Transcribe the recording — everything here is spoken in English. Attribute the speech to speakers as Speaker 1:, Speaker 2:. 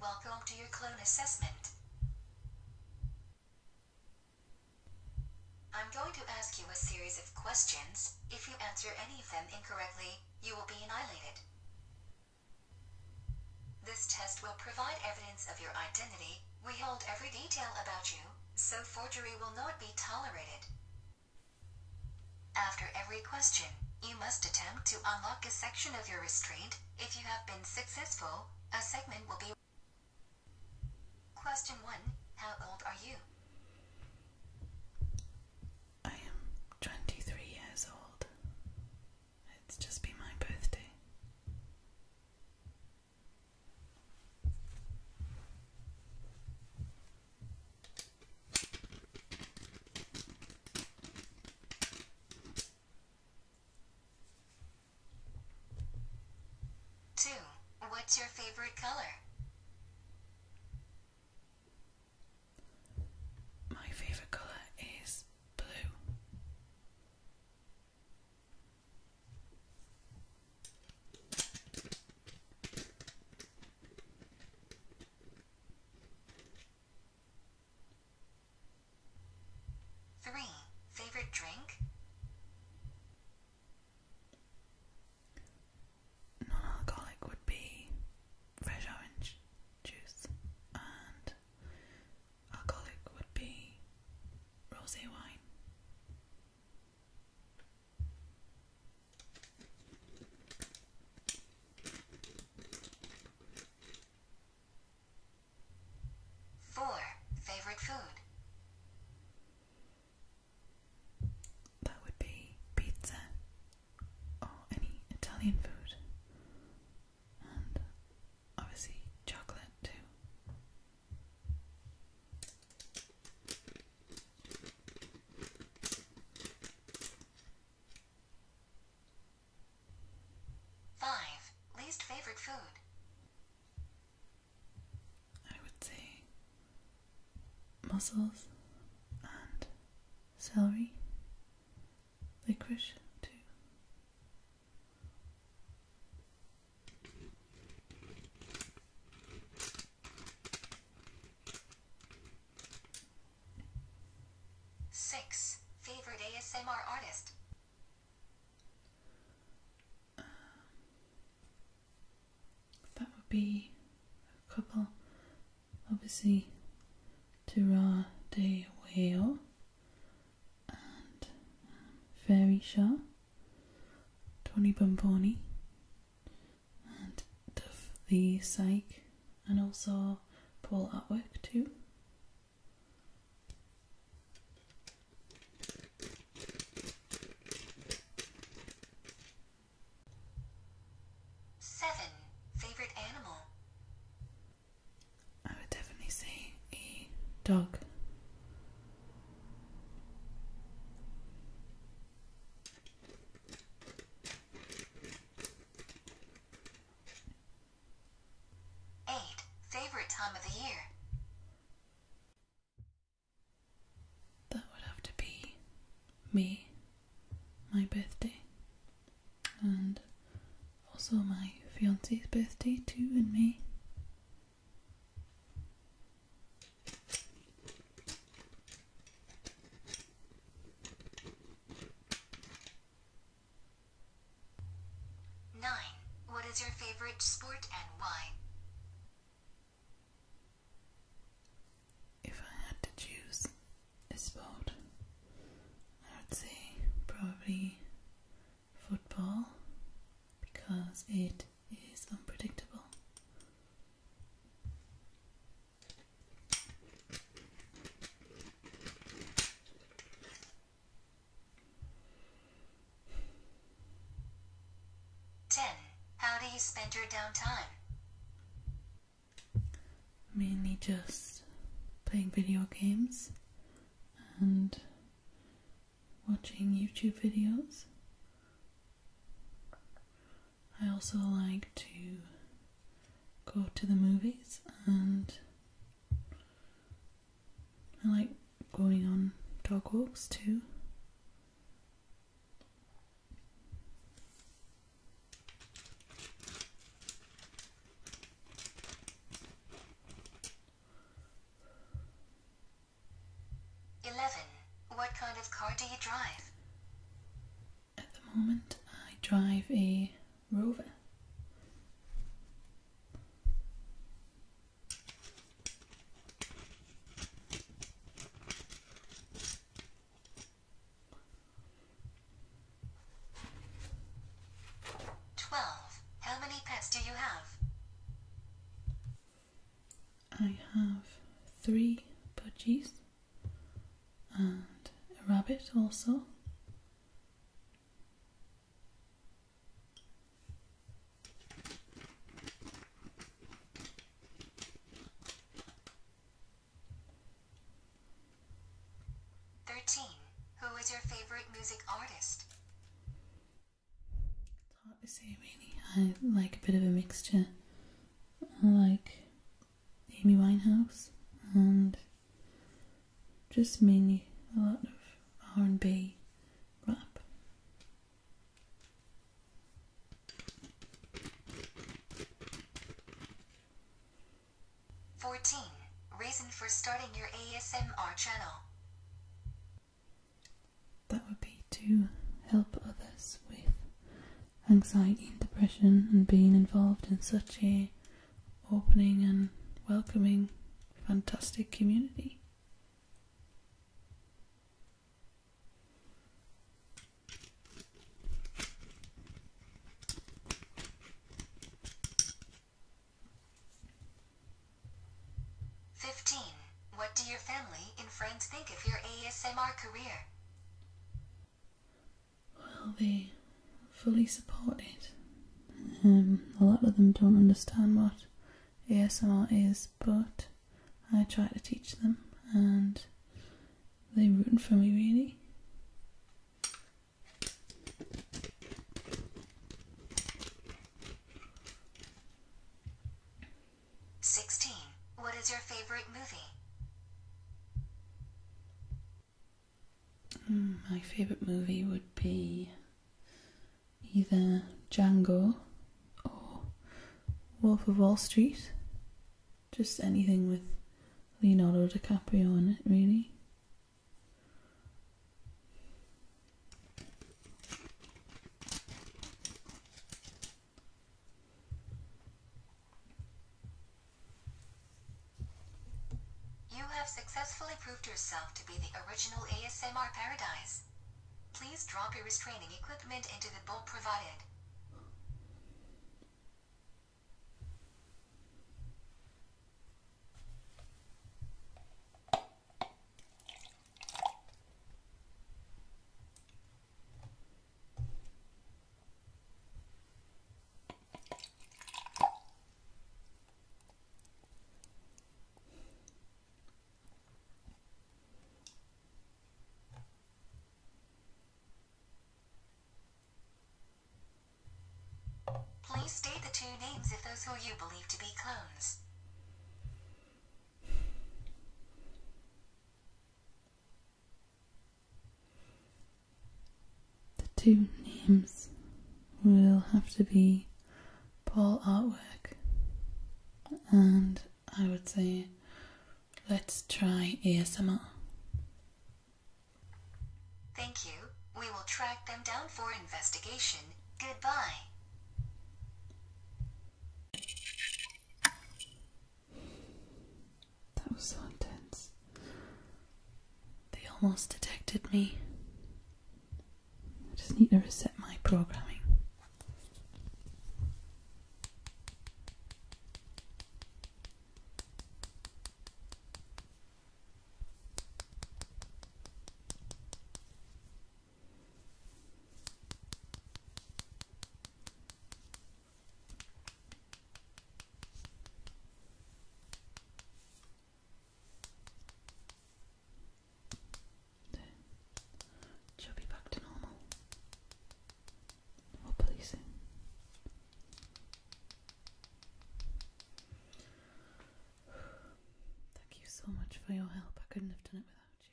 Speaker 1: Welcome to your clone assessment. I'm going to ask you a series of questions. If you answer any of them incorrectly, you will be annihilated. This test will provide evidence of your identity. We hold every detail about you, so forgery will not be tolerated. After every question, you must attempt to unlock a section of your restraint. If you have been successful, a segment will be. Question 1 How old are you?
Speaker 2: I am 23 years old. It's just been my birthday.
Speaker 1: Two. What's your favorite color? My favorite color is blue. 3. Favorite drink?
Speaker 2: Non alcoholic would be fresh orange juice, and alcoholic would be rosé wine.
Speaker 1: Four. Favorite food. That would be pizza or oh, any Italian food.
Speaker 2: And obviously chocolate too.
Speaker 1: Five. Least favorite food.
Speaker 2: I would say mussels and celery, licorice too.
Speaker 1: Six. Favorite ASMR artist.
Speaker 2: Uh, that would be a couple. Obviously, Tura de Whale and um, Fairy Shah, Tony Bomboni, and the Psych, and also Paul Atwick too.
Speaker 1: Seven favorite animal. I would definitely say
Speaker 2: a dog.
Speaker 1: Eight. Favorite time of the year.
Speaker 2: That would have to be me, my birthday, and also my fiance's birthday too in May.
Speaker 1: 9. What is your favorite sport and why? If I had to choose a sport,
Speaker 2: I would say probably football because it is unpredictable.
Speaker 1: 10. How do you spend your downtime?
Speaker 2: Mainly just playing video games and watching YouTube videos I also like to go to the movies and I like going on dog walks too.
Speaker 1: Eleven. What kind of car do you drive?
Speaker 2: at the moment I drive a Rover.
Speaker 1: Twelve. How many pets do you have?
Speaker 2: I have three budgies and a rabbit also.
Speaker 1: Thirteen. Who is your favorite music artist? hard to say really.
Speaker 2: I like a bit of a mixture. like Amy Winehouse and just mainly a lot of R&B
Speaker 1: rap. Fourteen reason for starting your ASMR channel.
Speaker 2: That would be to help
Speaker 1: others with
Speaker 2: anxiety and depression and being involved in such a opening and welcoming fantastic community
Speaker 1: Fifteen. What do your family and friends think of your ASMR career?
Speaker 2: well, they fully support it. Um, a lot of them don't understand what ASMR is, but I try to teach them, and they're rooting for me, really.
Speaker 1: Sixteen. What is your favorite movie?
Speaker 2: Hmm, my favourite movie would be either Django or Wolf of Wall Street. Just anything with Leonardo DiCaprio in it, really.
Speaker 1: You have successfully proved yourself to be the original ASMR paradise. Please drop your restraining equipment into the bowl provided. Please state the two names of those who you believe to be clones.
Speaker 2: The two names will have to be Paul Artwork and I would say let's try ASMR.
Speaker 1: Thank you. We will track them down for investigation. Goodbye.
Speaker 2: That was so intense. They almost detected me. I just need to reset my programming. She'll be back to normal. Or policing. Thank you so much for your help. I couldn't have done it without you.